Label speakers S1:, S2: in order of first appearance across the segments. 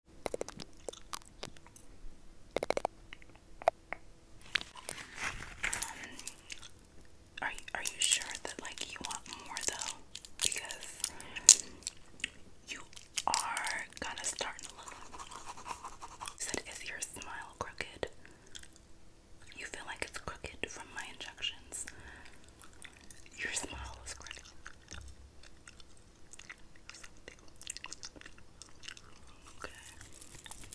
S1: Um, are you are you sure that like you want more though? Because you are kind to look said is your smile crooked? You feel like it's crooked from my injections. Your smile is crooked. Okay.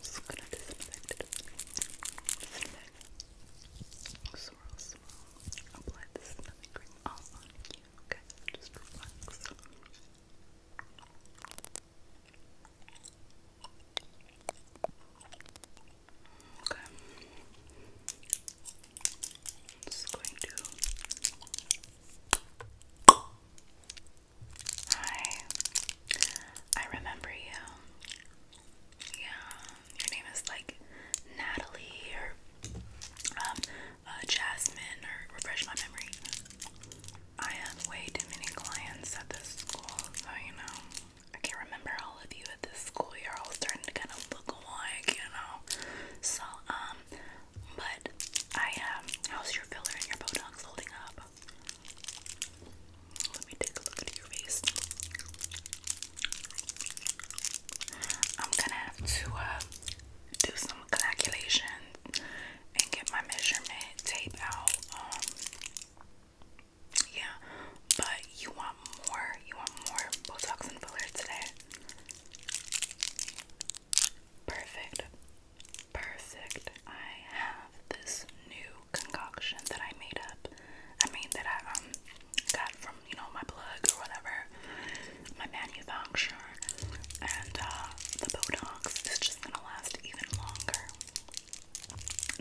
S1: Just gonna disinfect it. Disinfect. Swirl, swirl. Apply the stomach all on you. Okay. Just relax. Okay. just going to Hi. I remember you. Yeah, your name is like Natalie or um, uh, Jasmine or refresh my memory. I have way too many clients at this school, so you know, I can't remember all of you at this school. You're all starting to kind of look alike, you know. So, um, but I am. Um, how's your filler and your Botox holding up? Let me take a look at your face. I'm gonna have to uh, do some calculations and get my measurement tape out. Um, yeah, but you want more? You want more Botox and filler today? Perfect. Perfect. I have this new concoction that I made up. I mean that I um got from, you know, my plug or whatever. My manufacturer. And uh, the Botox is just gonna last even longer.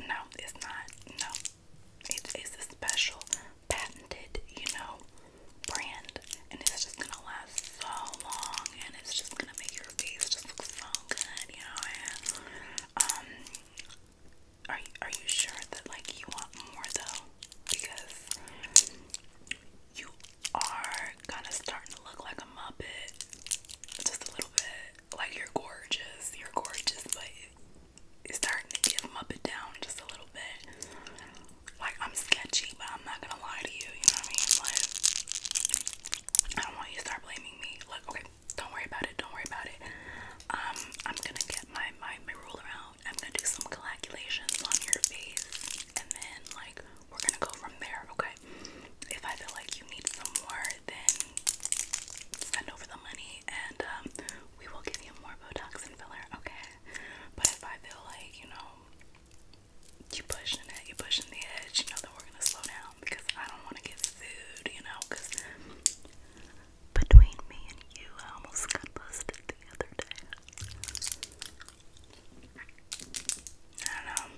S1: No, it's not. No. It is a special patented, you know, brand and it's just gonna last so long and it's just gonna make your face just look so good, you know. Um are you, are you sure that like you want more though? Because you are kind of starting to look like a muppet, just a little bit. Like you're gorgeous, you're gorgeous, but it's starting to give muppet down just a little bit like I'm sketchy, but I'm not gonna lie to you, you know what I mean? Like I don't want you start blaming me. Look, okay, don't worry about it, don't worry about it. Um, I'm gonna get my, my, my ruler out. I'm gonna do some calculations on your face and then like we're gonna go from there, okay? If I feel like you need some more, then send over the money and um we will give you more Botox and filler, okay? But if I feel like, you know, you pushing it, you pushing the edge, you know that we're gonna slow down because I don't wanna get sued, you know, because between me and you I almost got busted the other day. I know. Um,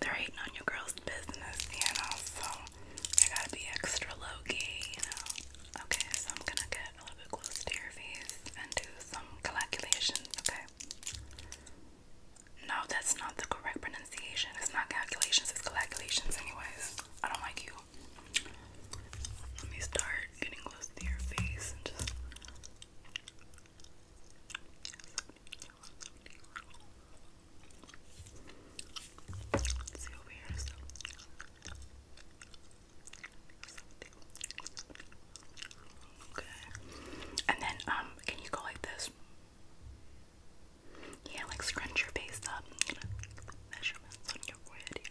S1: they're hating on your girl's business, you know, so I gotta be extra low key, you know. Okay, so I'm gonna go it a little bit closer to your face and do some calculations, okay? No, that's not the correct pronunciation. It's not calculations, it's calculations, anyways. I don't like you. Let me start getting close to your face and just. see over here. Okay. And then, um, can you go like this? Yeah, like scrunch your face up. measurements on your forehead.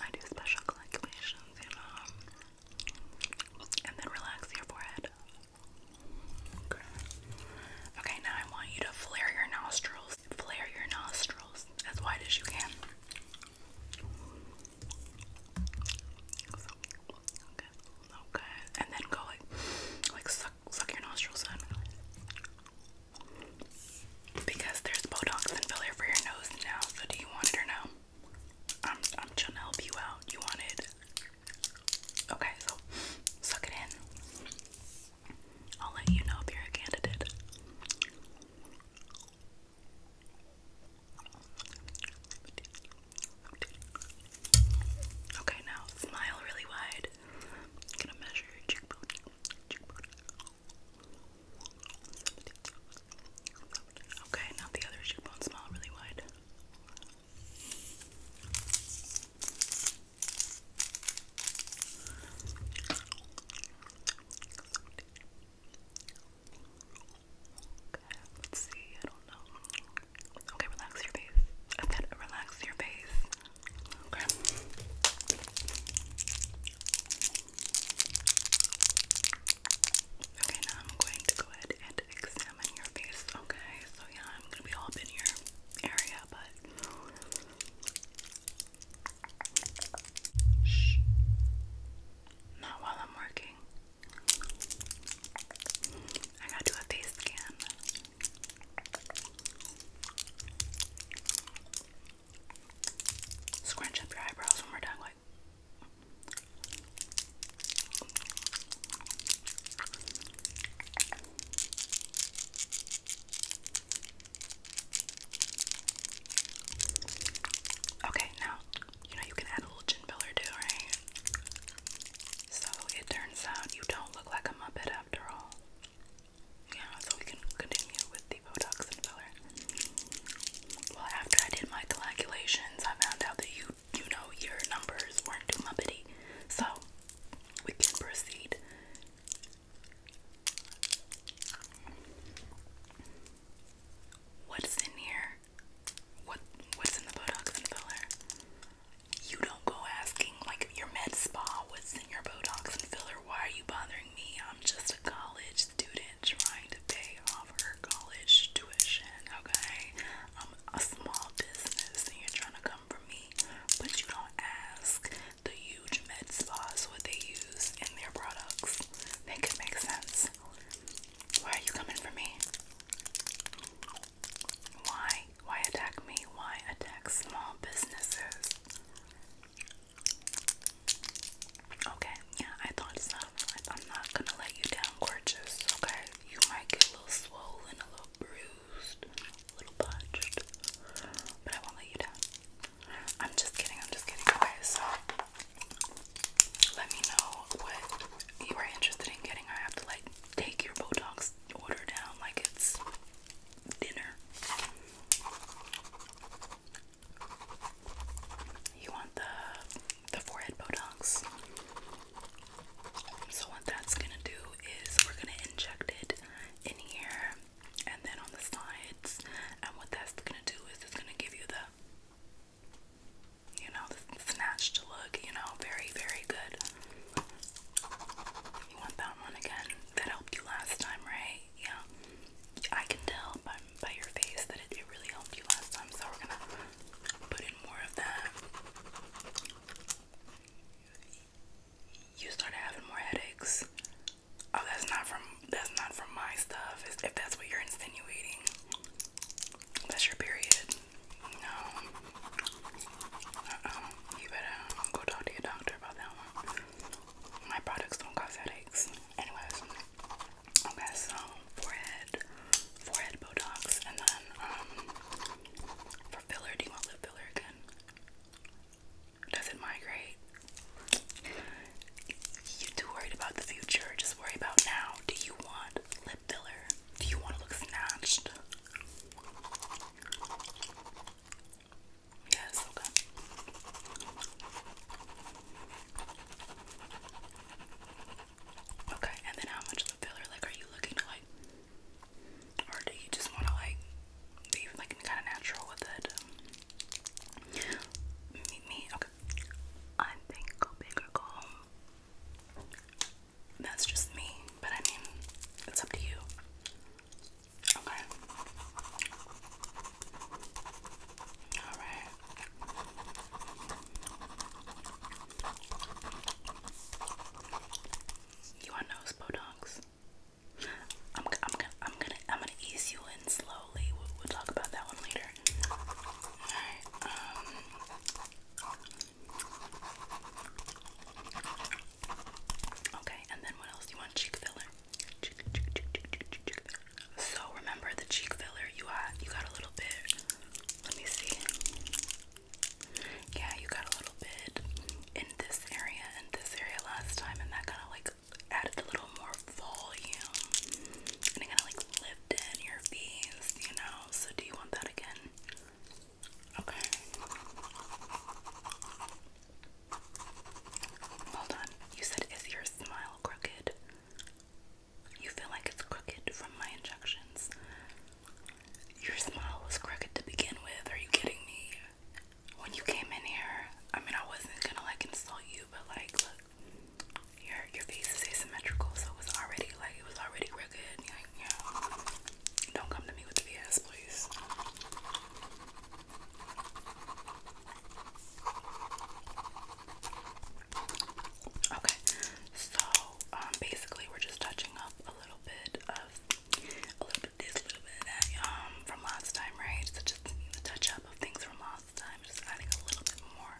S1: I do special calculations, you know. And then relax your forehead. Okay. Okay, now I want you to flare your nostrils. Flare your nostrils as wide as you can and then go like, like suck, suck your nostrils in, because there's Botox and filler for your nose now. So, do you want it or no? I'm, I'm trying to help you out. You want it? Okay, so suck it in. I'll let you know if you're a candidate. Okay, now smile really wide. gonna measure your cheekbone. Okay, now the other cheekbone. Smile really wide. Okay, let's see. I don't know. Okay, relax your face. I relax your face. Okay. Okay, now I'm going to go ahead and examine your face. Okay, so yeah, I'm gonna be all up in your area, but not while I'm working. I gotta do a face scan. Scrunch up your eyebrows when we're done, like. Okay, now you know you can add a little gin filler too, right? So it turns out you don't look like a Muppet after all. Yeah, so we can continue with the Botox and filler. Well, after I did my calculations, I found out that you, you know, your numbers weren't too Muppety. So we can proceed. What's in here? What what's in the Botox and filler? You don't go asking like your med spa what's in your Botox and filler. Why are you bothering me? I'm just a college student trying to pay off her college tuition, okay? I'm a small business and you're trying to come for me. But you don't ask the huge med spas what they use use in their products. that could make sense. Why are you coming for me? Why? Why attack me? Why attack small businesses? Okay, I thought I'm not gonna let you down, gorgeous. Okay, you might get a little swollen, a little bruised, a little punched, but I won't let you down. I'm just kidding, I'm just kidding. Okay, so let me know what you are interested in getting. I have to like take your Botox order down like it's dinner. You want the the forehead Botox. So what that's gonna do is we're gonna inject it in here and then on the side. And what that's gonna do is it's gonna give you the, you know, the snatched look, you know, very, very good. You want that one again? That helped you last time, right? Yeah. I can tell by, by your face that it, it really helped you last time, so we're gonna put in more of that. You started having more headaches. Oh, that's not from that's not from my stuff. If that's what you're insinuating, that's your period. No. Uh You better go talk to your doctor about that one. My products don't cause headaches. Anyways. Okay, so forehead, forehead Botox, and then um, for filler, do you want lip filler again? Does it migrate? You too worried about the future. Just worry about now. Do you want lip filler? Do you want to look snatched? Yes, okay. Okay, and then how much lip filler? Like, are you looking to like, or do you just want to like be like kind of natural with it? me. Okay. I think go big or go home. That's just me, but I mean, it's up to you. Okay. All right. You want nose botox? I'm, I'm, I'm gonna I'm gonna ease you in slow. Um, okay, and then what else do you want? Cheek filler. So remember the cheek filler you have you got a little bit. Let me see. Yeah, you got a little bit in this area and this area last time and that kind of like added a little more volume and it kind of like lived your face, you know. So, do you want that again? Okay. Hold on. You said, Is your smile crooked? You feel like it's crooked from my injections. Your smile was crooked to begin with. Are you kidding me? When you came in here, I mean, I wasn't gonna like insult you, but like, look your your face is asymmetrical, so it was already like it was already real good. don't come to me with the BS, please. Okay, so um, basically we're just touching up a little bit of a little bit this, little bit um from last time, right? So just a touch up of things from last all the just adding a little bit more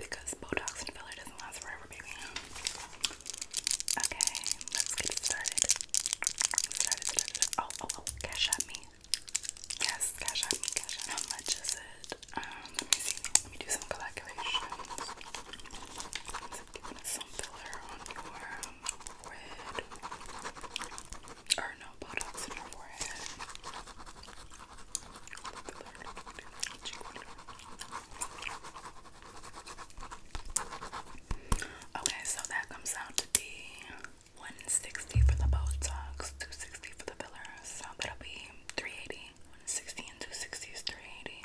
S1: because Botox and filler doesn't last forever, baby. Okay, let's get started. Oh, oh, oh, cash at me. cash cash at me. How much is it? Um, let me see. Let me do some calculations. some filler on your forehead. Okay, so that comes out to be 160 for the Botox, 260 for the filler, so that'll be 380. 160 and 260 is 380.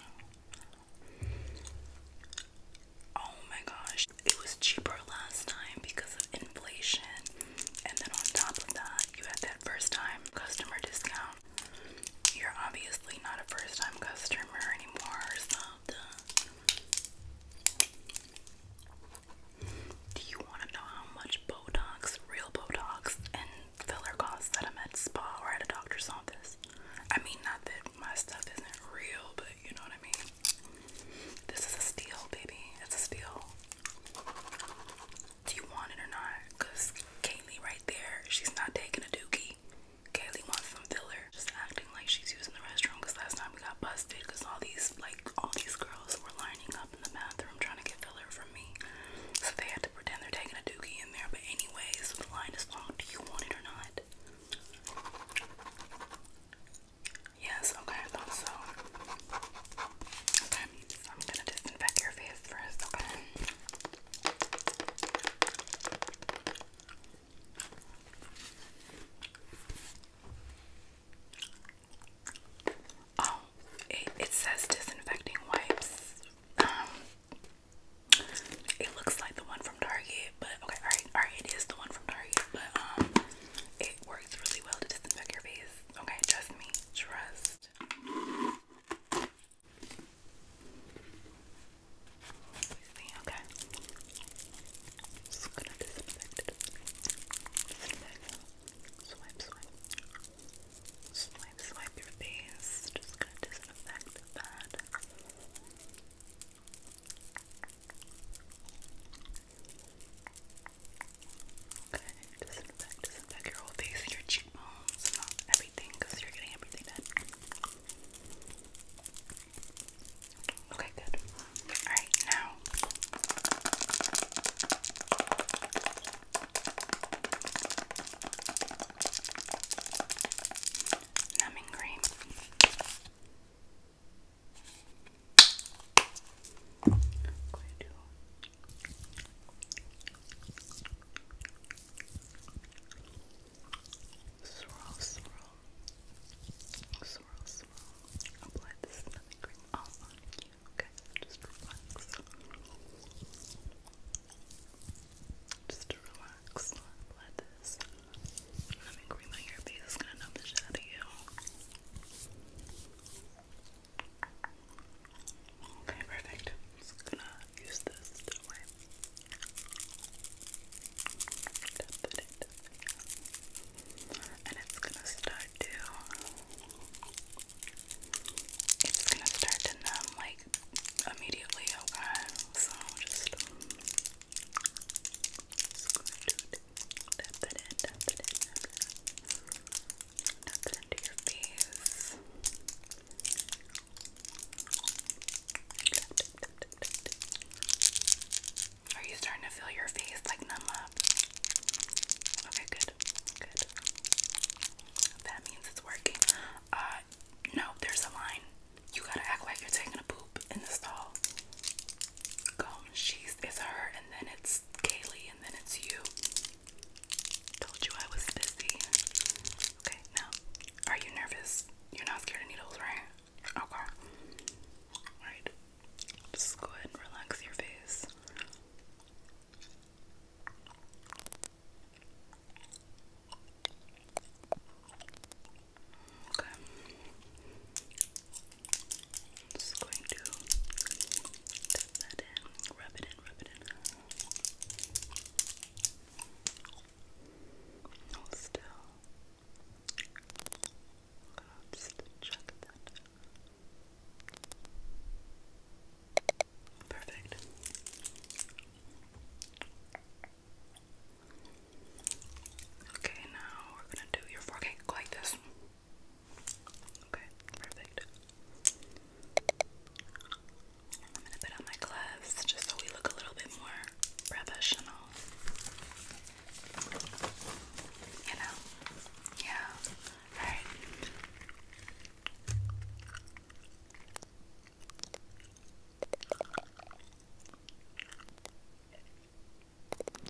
S1: Oh my gosh, it was cheaper last time because of inflation. And then on top of that, you have that first time customer discount. You're obviously not a first time customer anymore, so do you want to know how much Botox, real Botox, and filler costs that I'm spa or at a doctor's office? I mean, not that my stuff isn't real, but you know what I mean? This is a steal, baby. It's a steal. Do you want it or not? Kaylee right there, she's not taking a dookie. Kaylee wants some filler. Just acting like she's using the restroom because last time we got busted because all these, like, all these girls were lining up in the bathroom trying to get filler from me. So they had to pretend they're taking a dookie in there. But anyways, the line is long. Do you want it or not? Yes, okay, I thought so. Okay, I'm gonna disinfect your face first, Oh, it, it says disinfecting wipes. Um, it looks like the one from Target, but okay, alright, alright, it is the one from Target, but um, it works really well to disinfect your face. Okay, trust me. Trust. Okay. Just gonna disinfect it. Swipe, swipe. Swipe, swipe your face. Just gonna disinfect that. Okay, disinfect, disinfect your whole face and your cheekbones and everything because you're getting everything done. Okay, good. Alright, now numbing cream i swirl, swirl, swirl, swirl. Apply the all on you. Okay, just relax. Just relax. Apply this cream on your face. It's gonna numb the shit out of you. Okay, perfect. I'm just gonna use this And it's gonna start to. It's gonna start to numb like immediately, So just. Are you starting to feel your face like numb up? Okay, good, good. That means it's working. Uh, no, there's a line. You gotta act like you're taking a poop in the stall. Gone. She's is her, and then it's Kaylee, and then it's you. Told you I was busy. Okay, now, are you nervous? You're not scared of needles, right? Okay. Alright. Just go ahead relax your face. Okay just going to tap that in, rub it in, rub it in. No, still. I'm just check that. Perfect. Okay, now we're gonna do your forehead like this. Okay, perfect. I'm gonna put on my gloves just so we look a little bit more professional. You know? Yeah. Alright. Perfect, perfect. Okay.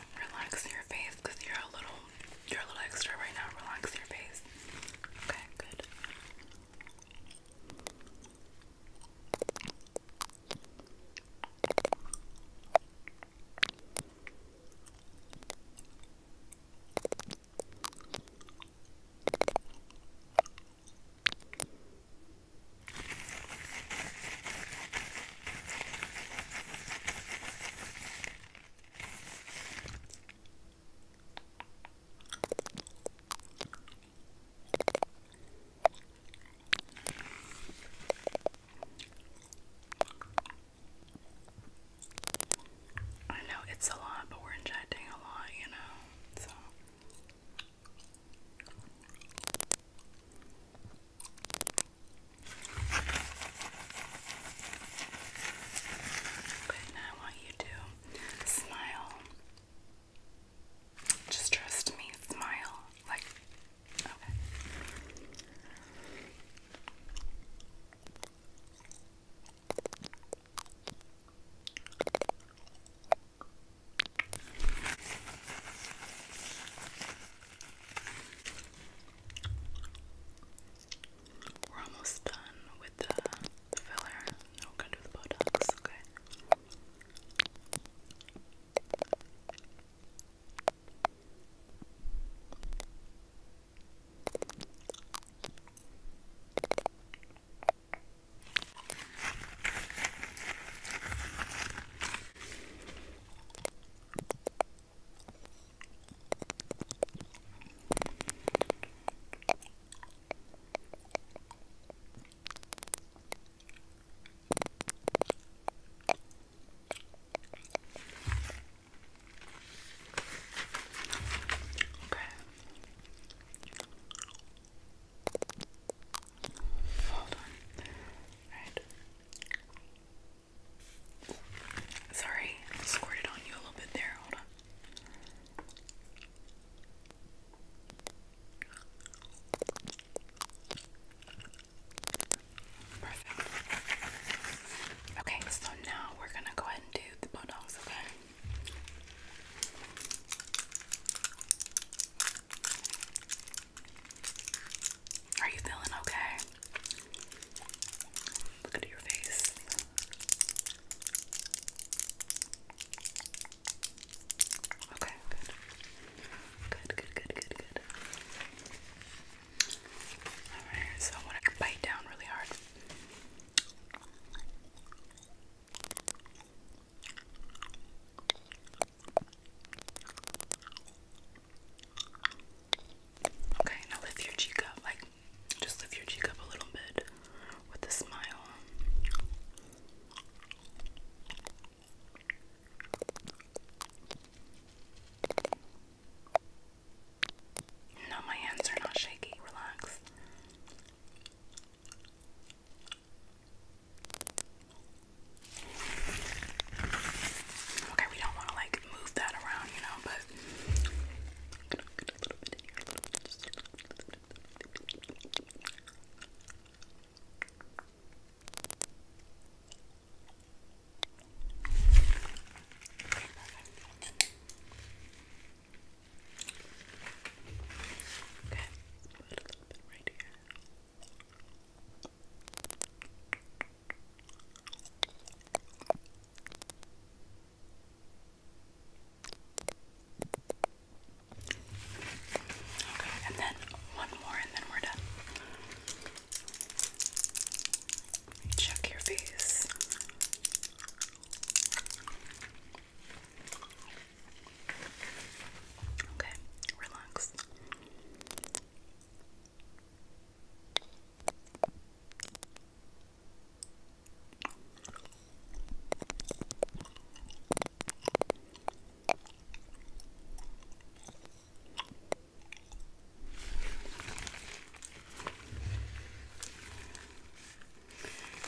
S1: relax your face because you're a little you're a little extra right now. Relax your face. Okay, good. I know it's a lot, but we're injecting a lot, you know, so. Okay, I want you to smile. Just trust me, smile. Like, Okay. We're almost done with the, filler. Now we're gonna do the Botox, okay? Okay. Hold on. Right. Sorry, squirted on you a little bit there. Hold on. Okay, so now we're gonna go ahead and do the buttocks, okay? Are you feeling okay? Look at your face. Okay, good. Good, good, good, good, Alright, so I want to bite down really hard. Okay, now lift your cheek up, like just lift your cheek up a little bit with a smile. No, my hands are not shaky. Relax. Okay, we don't want to like move that around, you know, but Okay, put a little bit right here. Okay, and then one more, and then we're done. Check your face. Okay, relax.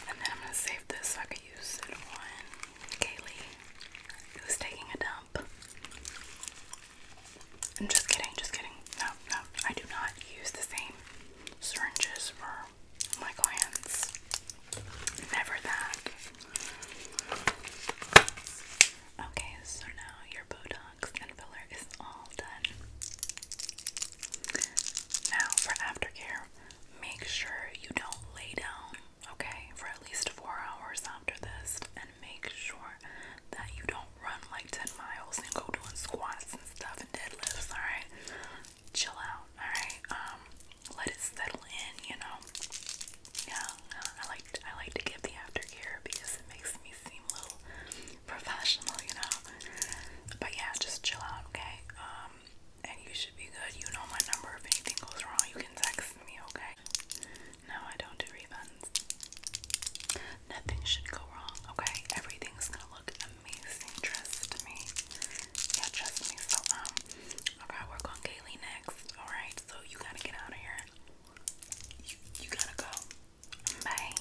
S1: And then I'm going to save this so I can use it on Kaylee, who's taking a dump. I'm just kidding, just kidding. No, no, I do not use the same syringes for my clients. Never that. Okay, so now your Botox and filler is all done. Now for aftercare, make sure you don't lay down okay, for at least four hours after this, and make sure that you don't run like 10 miles and go doing squats and stuff and deadlifts, alright? Chill out, alright? Um, let it settle in, you know. Yeah, I like I like to give the aftercare because it makes me seem a little professional, you know. But yeah, just chill out, okay? Um, and you should be good. You know my number. If anything goes wrong, you can text me, okay? No, I don't do refunds. Nothing should go wrong, okay? Everything's gonna look amazing. Trust me. Yeah, trust me. So, um, I work on Kaylee next, alright? So, you gotta get out of here. you gotta go. Bye.